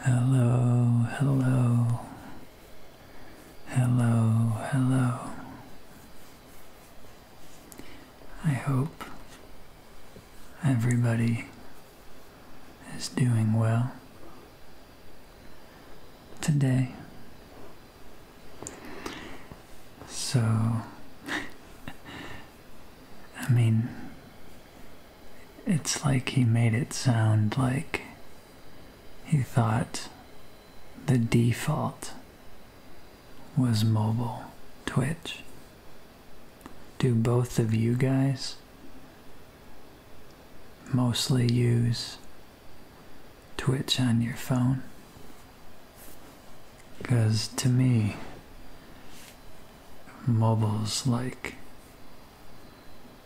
Hello, hello, hello, hello. I hope everybody is doing well today. So, I mean, it's like he made it sound like he thought the default was mobile Twitch. Do both of you guys mostly use Twitch on your phone? Because to me, mobiles like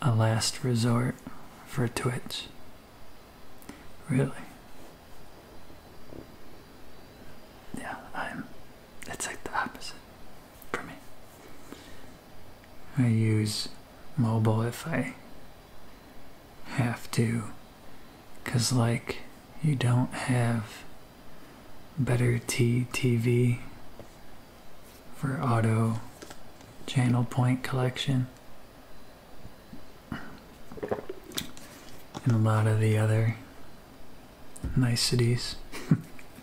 a last resort for Twitch. Really. Yeah, I'm it's like the opposite for me. I use mobile if I have to cuz like you don't have better TV for auto channel point collection and a lot of the other niceties.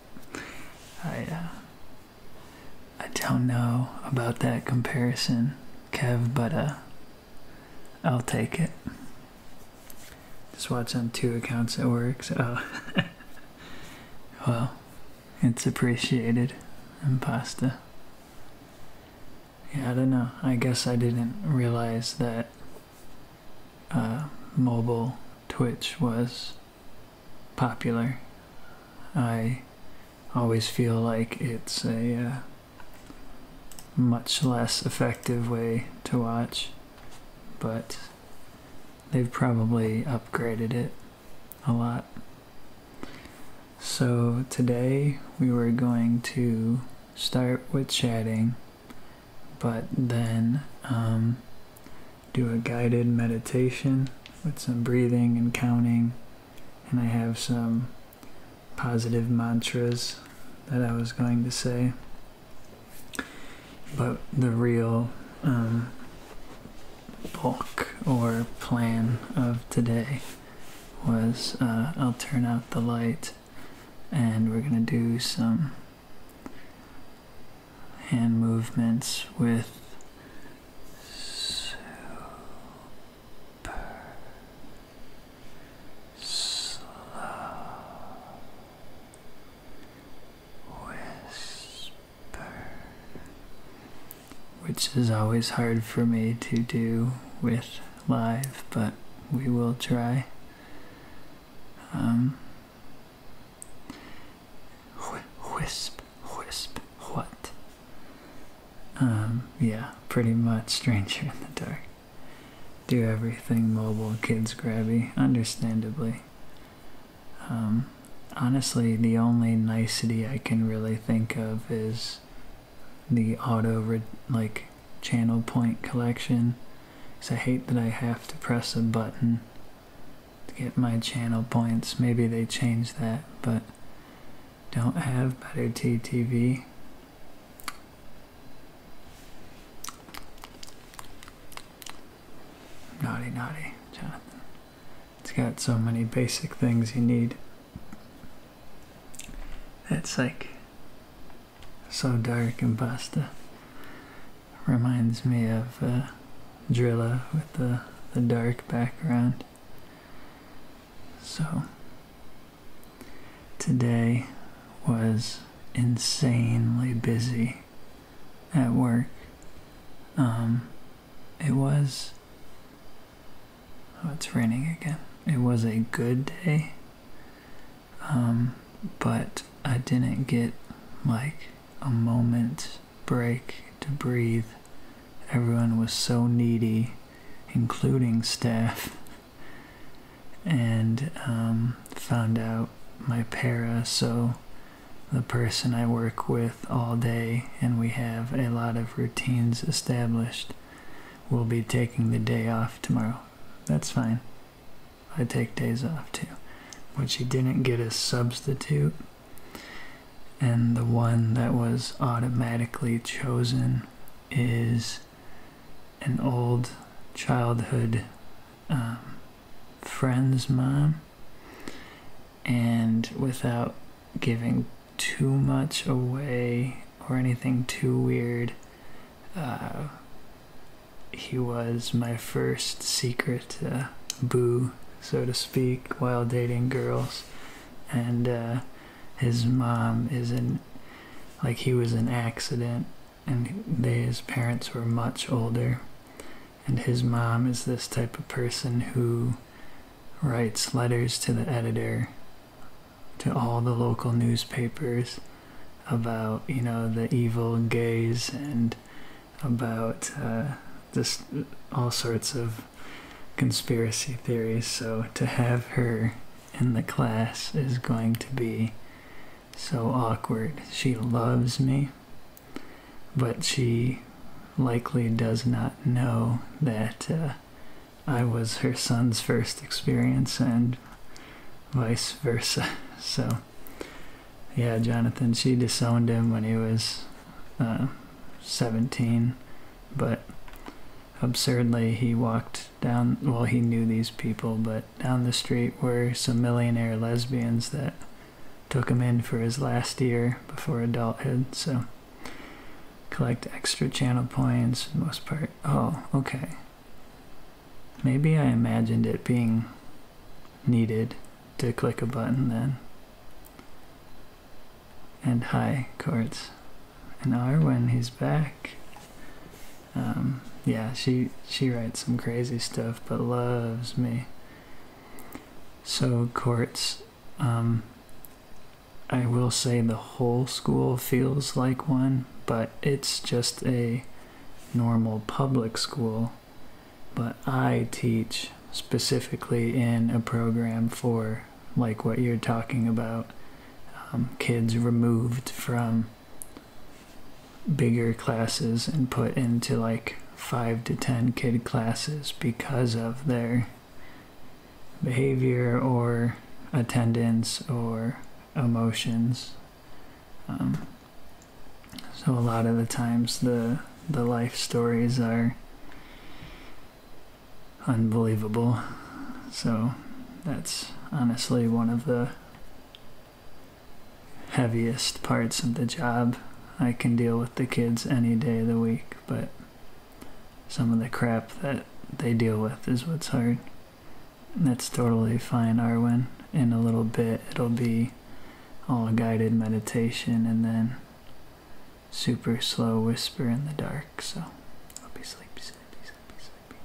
I, uh, I don't know about that comparison, Kev, but uh, I'll take it. Just watch on two accounts It works. well, it's appreciated. And pasta. Yeah, I don't know. I guess I didn't realize that uh, mobile Twitch was popular. I always feel like it's a uh, much less effective way to watch, but They've probably upgraded it a lot. So today we were going to start with chatting, but then um, do a guided meditation with some breathing and counting. And I have some positive mantras that I was going to say. But the real um, book or plan of today was uh, I'll turn out the light and we're going to do some hand movements with super slow whisper, which is always hard for me to do with live, but we will try. Um, wh wisp, wisp, what? Um, yeah, pretty much Stranger in the Dark do everything mobile, kids grabby, understandably. Um, honestly, the only nicety I can really think of is the auto like channel point collection. Cause I hate that I have to press a button to get my channel points. Maybe they changed that, but don't have better TTV. Naughty, naughty, Jonathan. It's got so many basic things you need. That's like so dark and pasta. Reminds me of uh, Drilla with the, the dark background. So, today was insanely busy at work. Um, it was. Oh, it's raining again. It was a good day, um, but I didn't get like a moment break to breathe. Everyone was so needy, including staff. and um, found out my para, so the person I work with all day, and we have a lot of routines established, will be taking the day off tomorrow. That's fine. I take days off too. What she didn't get a substitute, and the one that was automatically chosen is an old childhood um, friend's mom and without giving too much away or anything too weird. Uh, he was my first secret uh, boo, so to speak, while dating girls. And uh, his mom is in. like, he was an accident and they, his parents were much older. And his mom is this type of person who writes letters to the editor, to all the local newspapers about, you know, the evil gays and about uh, just all sorts of conspiracy theories. So to have her in the class is going to be so awkward. She loves me, but she likely does not know that uh, I was her son's first experience and vice versa. So, yeah, Jonathan, she disowned him when he was uh, 17, but absurdly, he walked down, well, he knew these people, but down the street were some millionaire lesbians that took him in for his last year before adulthood. So collect extra channel points for the most part. Oh, okay. Maybe I imagined it being needed to click a button then. And hi, Courts. And Arwen, he's back. Um, yeah, she she writes some crazy stuff, but loves me. So courts, um, I will say the whole school feels like one, but it's just a normal public school. But I teach specifically in a program for like what you're talking about, um, kids removed from bigger classes and put into like five to ten kid classes because of their behavior or attendance or emotions. Um, so a lot of the times the the life stories are unbelievable. So that's honestly one of the heaviest parts of the job. I can deal with the kids any day of the week, but some of the crap that they deal with is what's hard. And that's totally fine, Arwen. In a little bit, it'll be all guided meditation and then super slow whisper in the dark. So, I'll be sleepy, sleepy sleepy,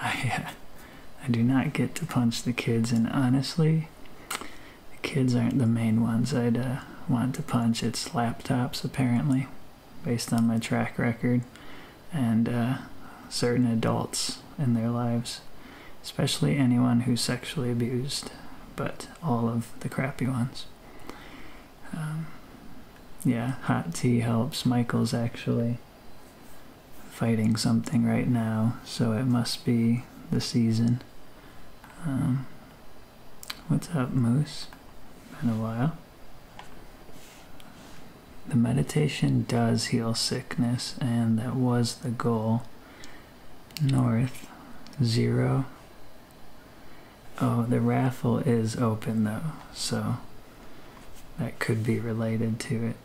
uh, I, do not get to punch the kids, and honestly, the kids aren't the main ones I'd uh, want to punch. It's laptops, apparently, based on my track record, and uh, certain adults in their lives, especially anyone who's sexually abused, but all of the crappy ones. Um, yeah, hot tea helps. Michael's actually fighting something right now, so it must be the season. Um, what's up, Moose? Been a while. The meditation does heal sickness, and that was the goal. North, zero. Oh, the raffle is open though, so that could be related to it.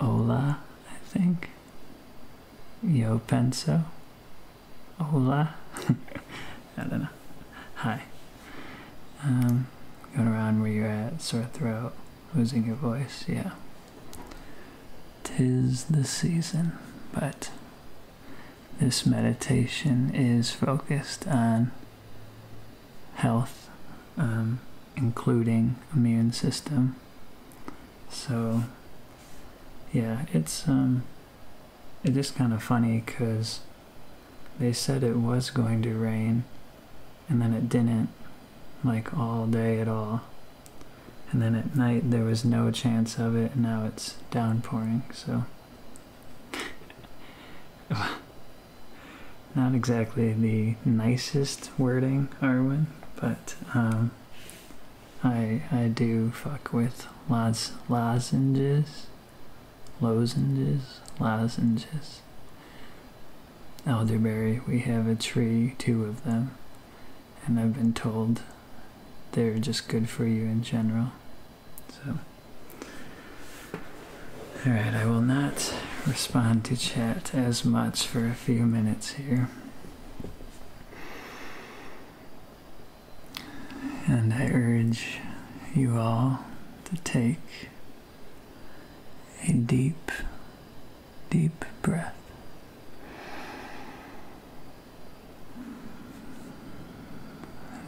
Hola, I think. Yo penso. Hola. I don't know. Hi. Um, going around where you're at, sort of throat, losing your voice, yeah. Tis the season, but this meditation is focused on health, um, including immune system. So, yeah, it's um, it is kind of funny because they said it was going to rain, and then it didn't, like all day at all. And then at night there was no chance of it, and now it's downpouring. So. not exactly the nicest wording, Arwen, but um, I I do fuck with lots lozenges, lozenges, lozenges. Elderberry, we have a tree, two of them, and I've been told they're just good for you in general. So, all right, I will not respond to chat as much for a few minutes here. And I urge you all to take a deep, deep breath.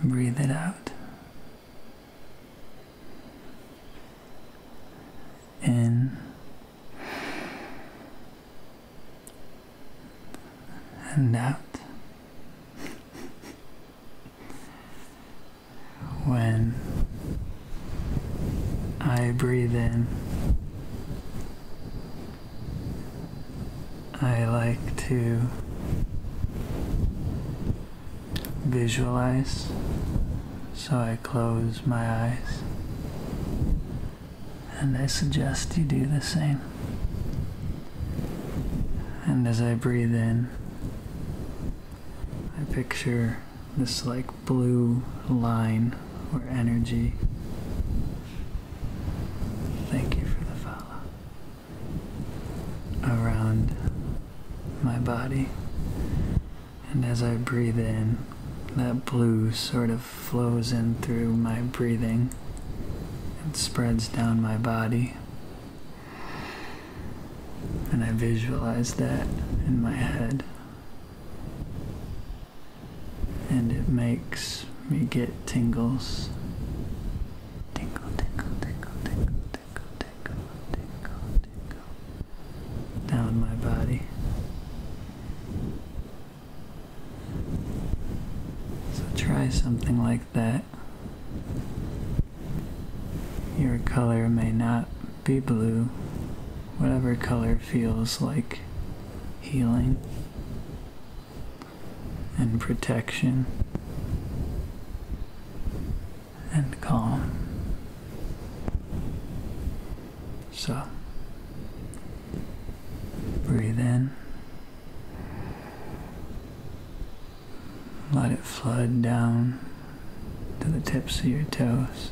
Breathe it out in and out. when I breathe in, I like to visualize. So I close my eyes. And I suggest you do the same. And as I breathe in, I picture this like blue line or energy. Thank you for the follow around my body. And as I breathe in, that blue sort of flows in through my breathing and spreads down my body. And I visualize that in my head. And it makes me get tingles. Tingle, tingle, tingle, tingle tickle, tickle, tickle, tickle down my body. So try something like that. Your color may not be blue, whatever color feels like healing and protection and calm. So, breathe in, let it flood down to the tips of your toes,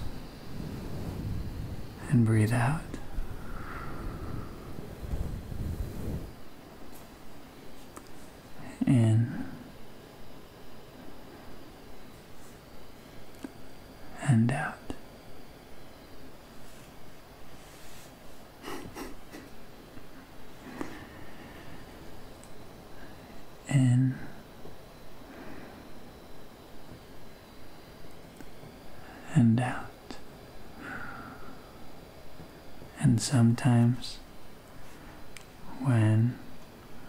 and breathe out in and out. in and out. And sometimes, when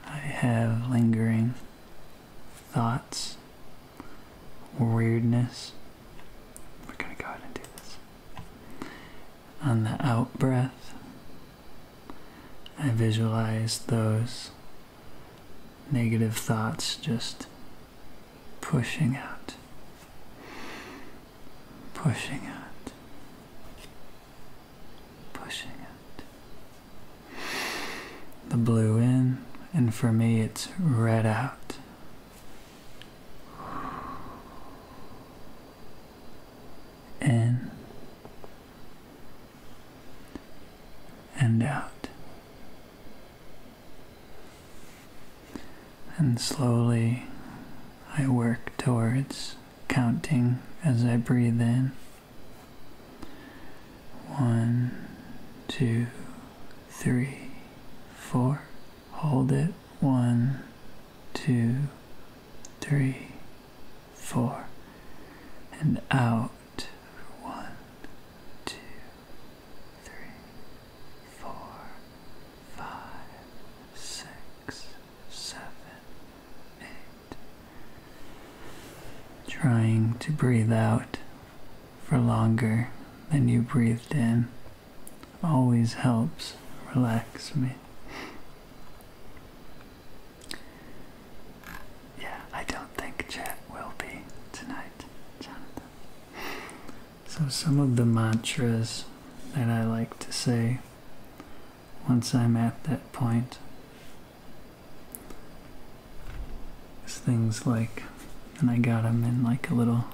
I have lingering thoughts or weirdness, we're going to go ahead and do this. On the out breath, I visualize those negative thoughts just pushing out pushing out, pushing it. The blue in, and for me it's red out. In and out and slowly I work towards counting as I breathe in. One, two, three, four. Hold it. One, two, three, four. And out. One, two, three, four, five, six seven, Trying to breathe out for longer than you breathed in always helps relax me. Yeah, I don't think chat will be tonight, Jonathan. So, some of the mantras that I like to say once I'm at that point is things like, and I got them in like a little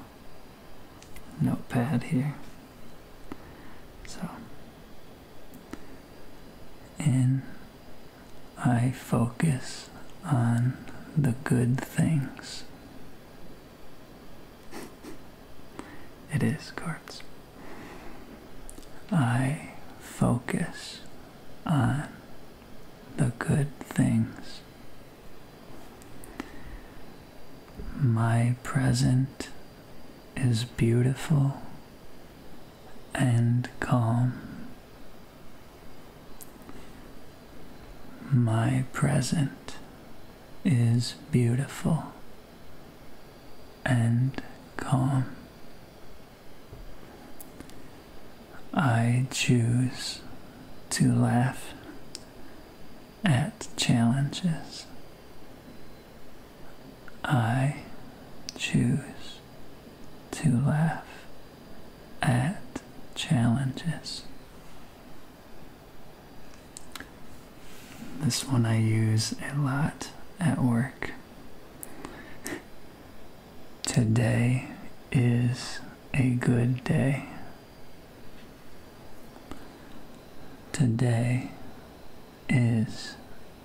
notepad here. So, and I focus on the good things. It is cards. I focus on the good things. My present is beautiful and calm. My present is beautiful and calm. I choose to laugh at challenges. I choose to laugh at challenges. This one I use a lot at work. Today is a good day. Today is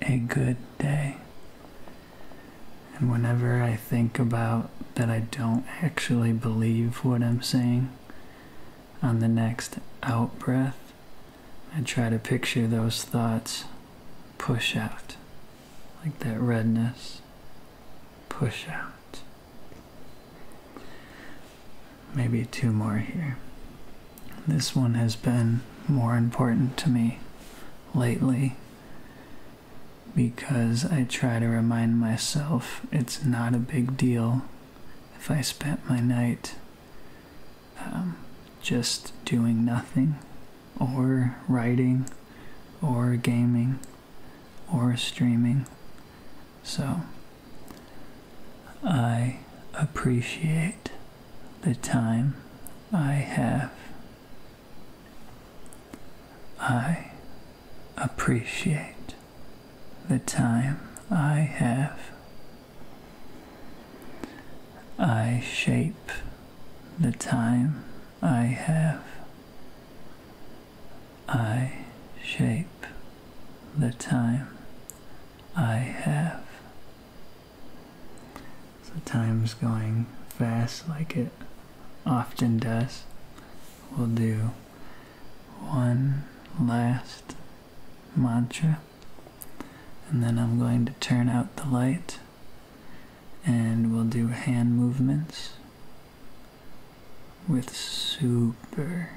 a good day. And whenever I think about that, I don't actually believe what I'm saying, on the next out breath, I try to picture those thoughts push out, like that redness, push out. Maybe two more here. This one has been more important to me lately because I try to remind myself it's not a big deal if I spent my night um, just doing nothing, or writing, or gaming, or streaming. So, I appreciate the time I have. I appreciate the time I have. I shape the time I have. I shape the time I have. The time's going fast like it often does. will do one last mantra, and then I'm going to turn out the light, and we'll do hand movements with super,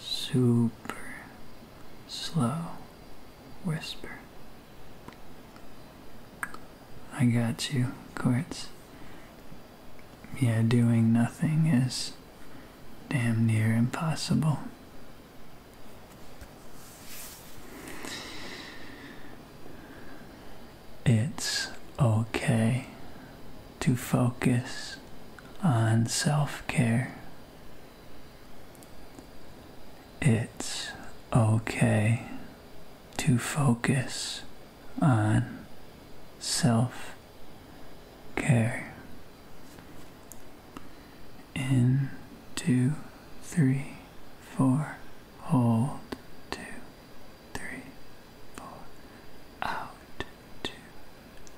super slow whisper. I got you, Quartz. Yeah, doing nothing is damn near impossible. It's okay to focus on self care. It's okay to focus on self care in two three four hold two three four out two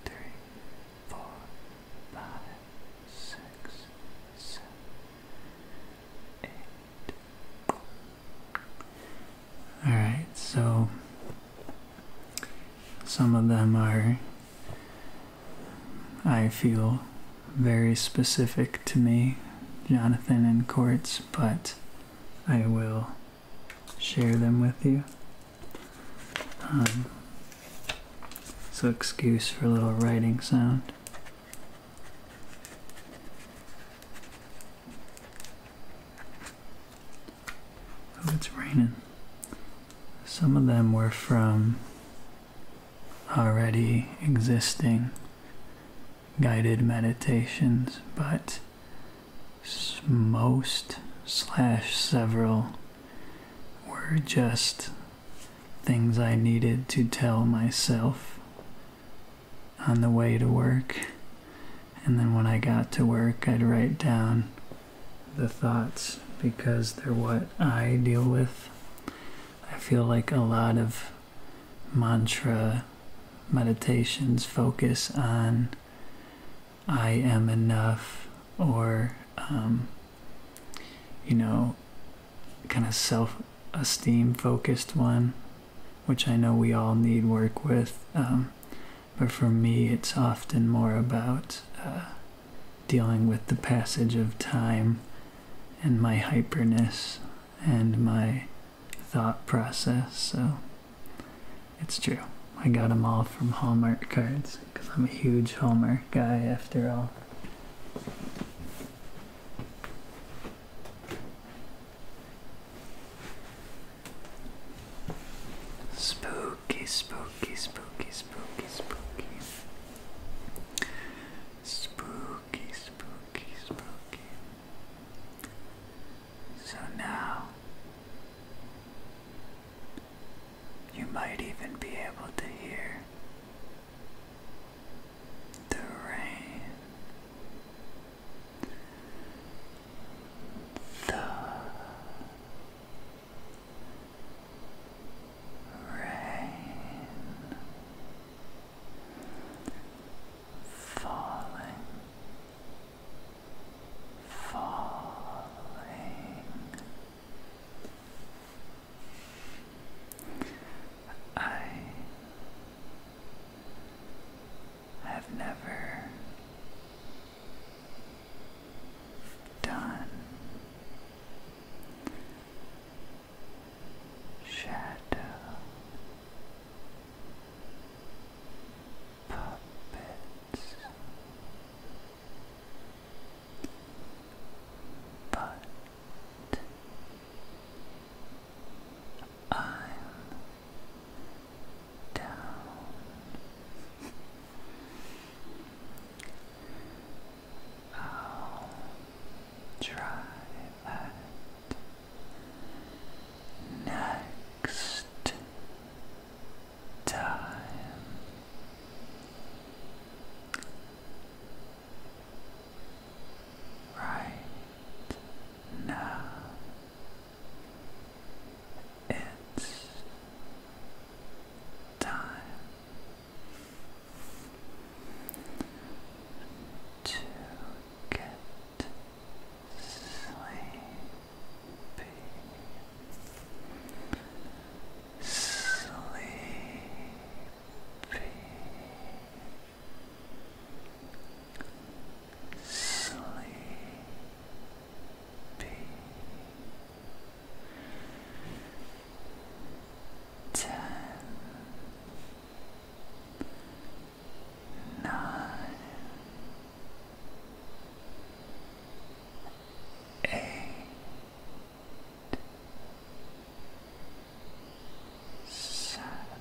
three four five six seven eight all right so some of them are, I feel, very specific to me, Jonathan and Quartz, but I will share them with you. Um, so excuse for a little writing sound. Oh, it's raining. Some of them were from already existing guided meditations, but most slash several were just things I needed to tell myself on the way to work and then when I got to work, I'd write down the thoughts because they're what I deal with. I feel like a lot of mantra meditations focus on I am enough or, um, you know, kind of self esteem focused one, which I know we all need work with. Um, but for me, it's often more about uh, dealing with the passage of time and my hyperness and my thought process. So it's true. I got them all from Hallmark cards because I'm a huge Hallmark guy after all. Spooky, spooky, spooky, spooky, spooky. Spooky, spooky, spooky. So now you might even be able to hear the rain the rain falling falling I I've never done shadow puppets, but I'm down. try next time. Right now. It's time to get sleepy. Sleepy sleepy. Ten, nine, eight, seven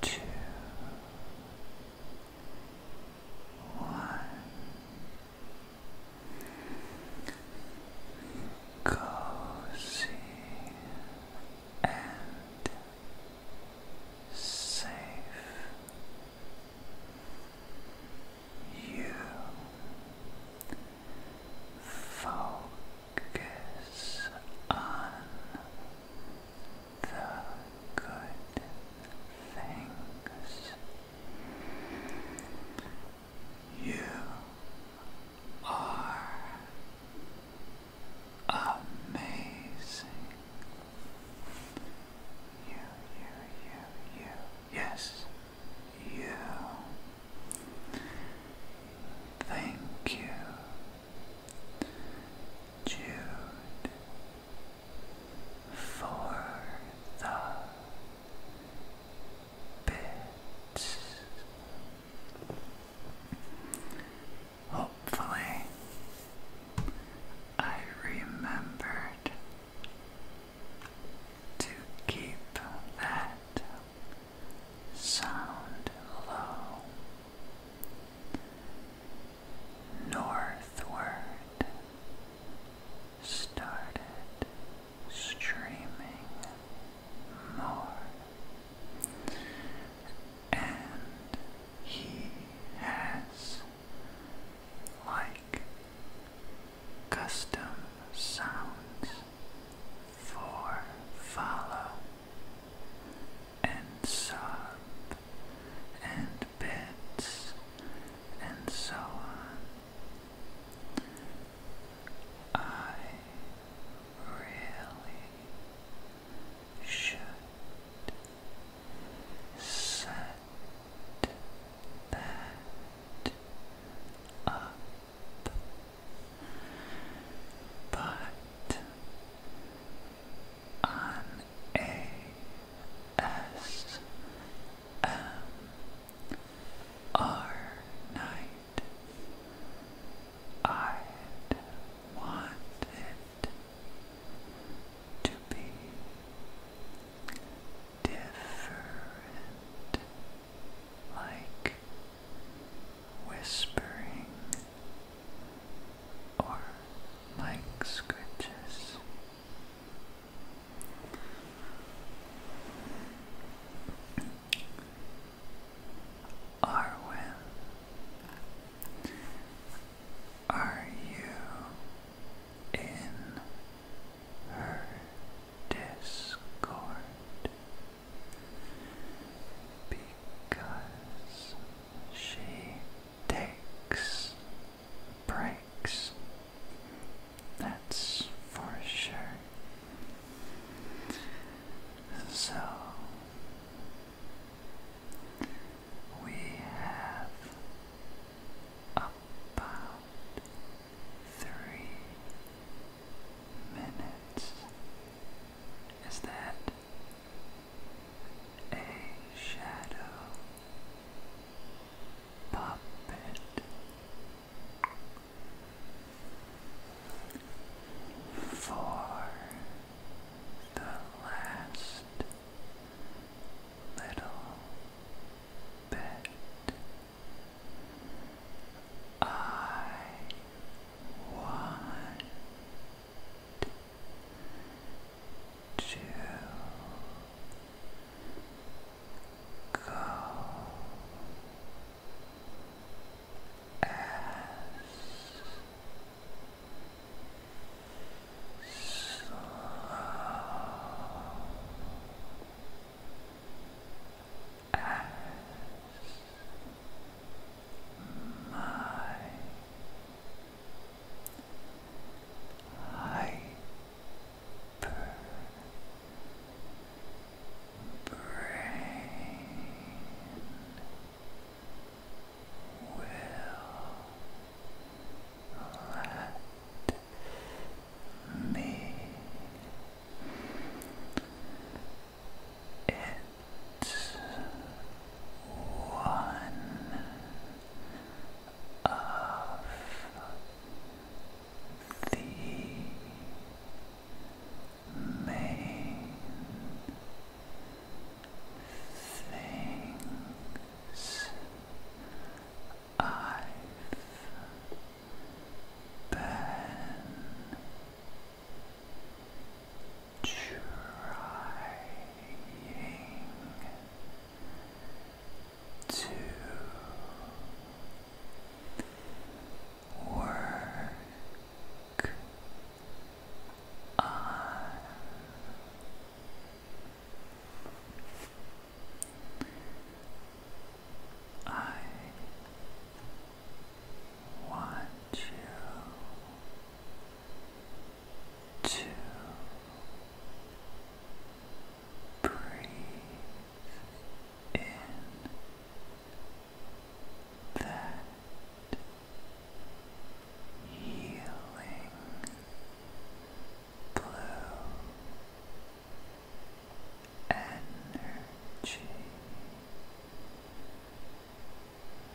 two, one. Cozy and safe. You focus on the good things. You are amazing. You, you, you, you. Yes, you. Thank you Jude for the bits. Hopefully, I remembered to keep that sound low northward started streaming more, and he has, like custom sounds for follow and sob and bits and so on. I really should set that up but on ASMR night, I'd to be different. Like whispering or mic scratches. Arwen, are you in her Discord? because she takes breaks. That's for sure. So we have about three minutes. Is that a shadow puppet for the last little bit. I want to go as slow as my hyper brain will let me it's one of the main things I've been trying to work on I one, two, two, breathe in that healing blue energy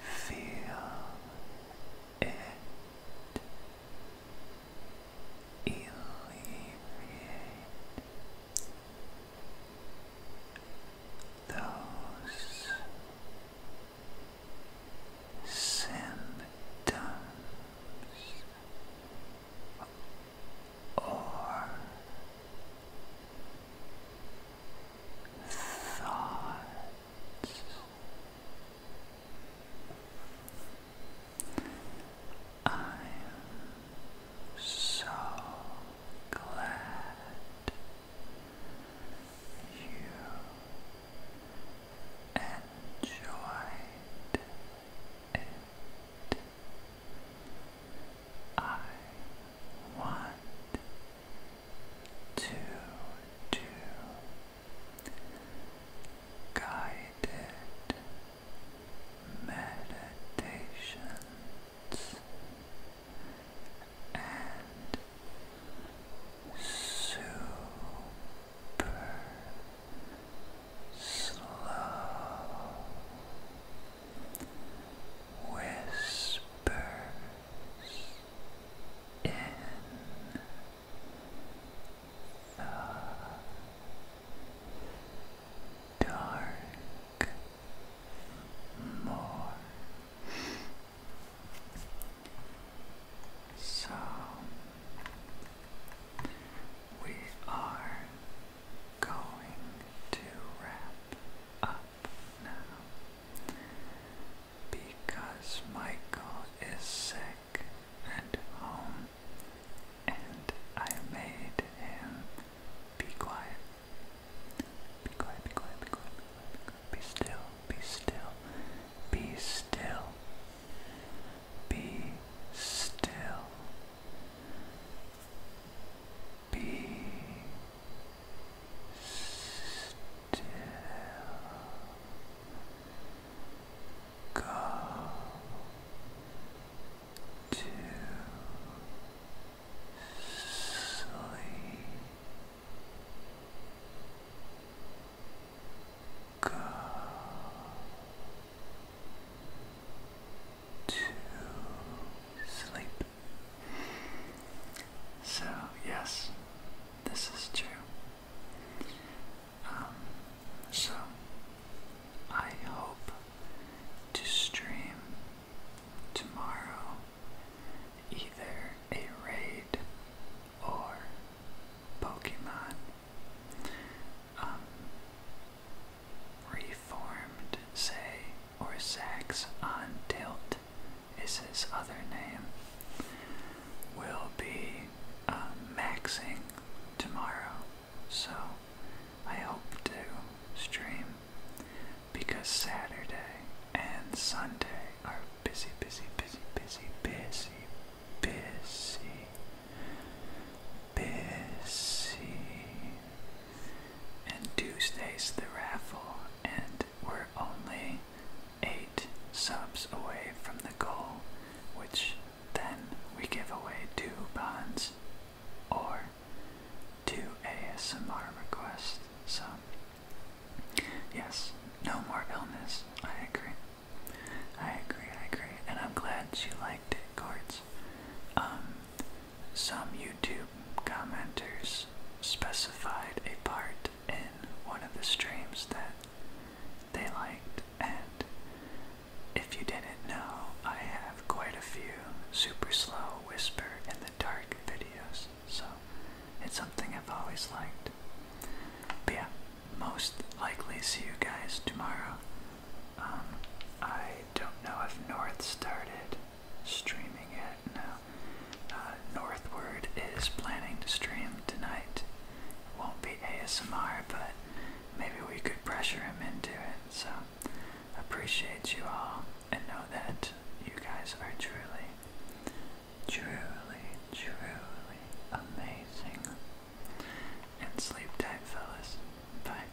Feel it alleviate those symptoms or thoughts. I am so glad you enjoyed it. I want to do guided meditations and super slow whispers in the dark more so we are going to wrap up because Michael is sick and home, and I made him be quiet. Be be quiet, be quiet, be quiet, be quiet. Be still, be still, be still. Be still. Be still go to sleep go to sleep so, yes, this is true. Um, so, I hope to stream tomorrow either a raid or Pokemon. Um, Reformed Say or Sax Untilt, is his other name. Will be uh, maxing tomorrow, so I hope to stream because Saturday and Sunday are busy, busy, busy, busy, busy, busy, busy, and Tuesday's the raffle, and we're only eight subs away from the goal, which then we give away two bonds or two ASMR requests. So, yes, no more illness. I agree. I agree, I agree. And I'm glad you liked it, Court. Um, some YouTube commenters specified a part in one of the streams that they liked, and if you didn't know, I have quite a few super slow whisper in the dark videos, so it's something I've always liked. But yeah, most likely see you guys tomorrow. Um, I don't know if North started streaming it now. Uh, Northward is planning to stream tonight. won't be ASMR, but maybe we could pressure him into it. So, appreciate you all and know that you guys are truly, truly, truly amazing. And sleep tight, fellas. Bye.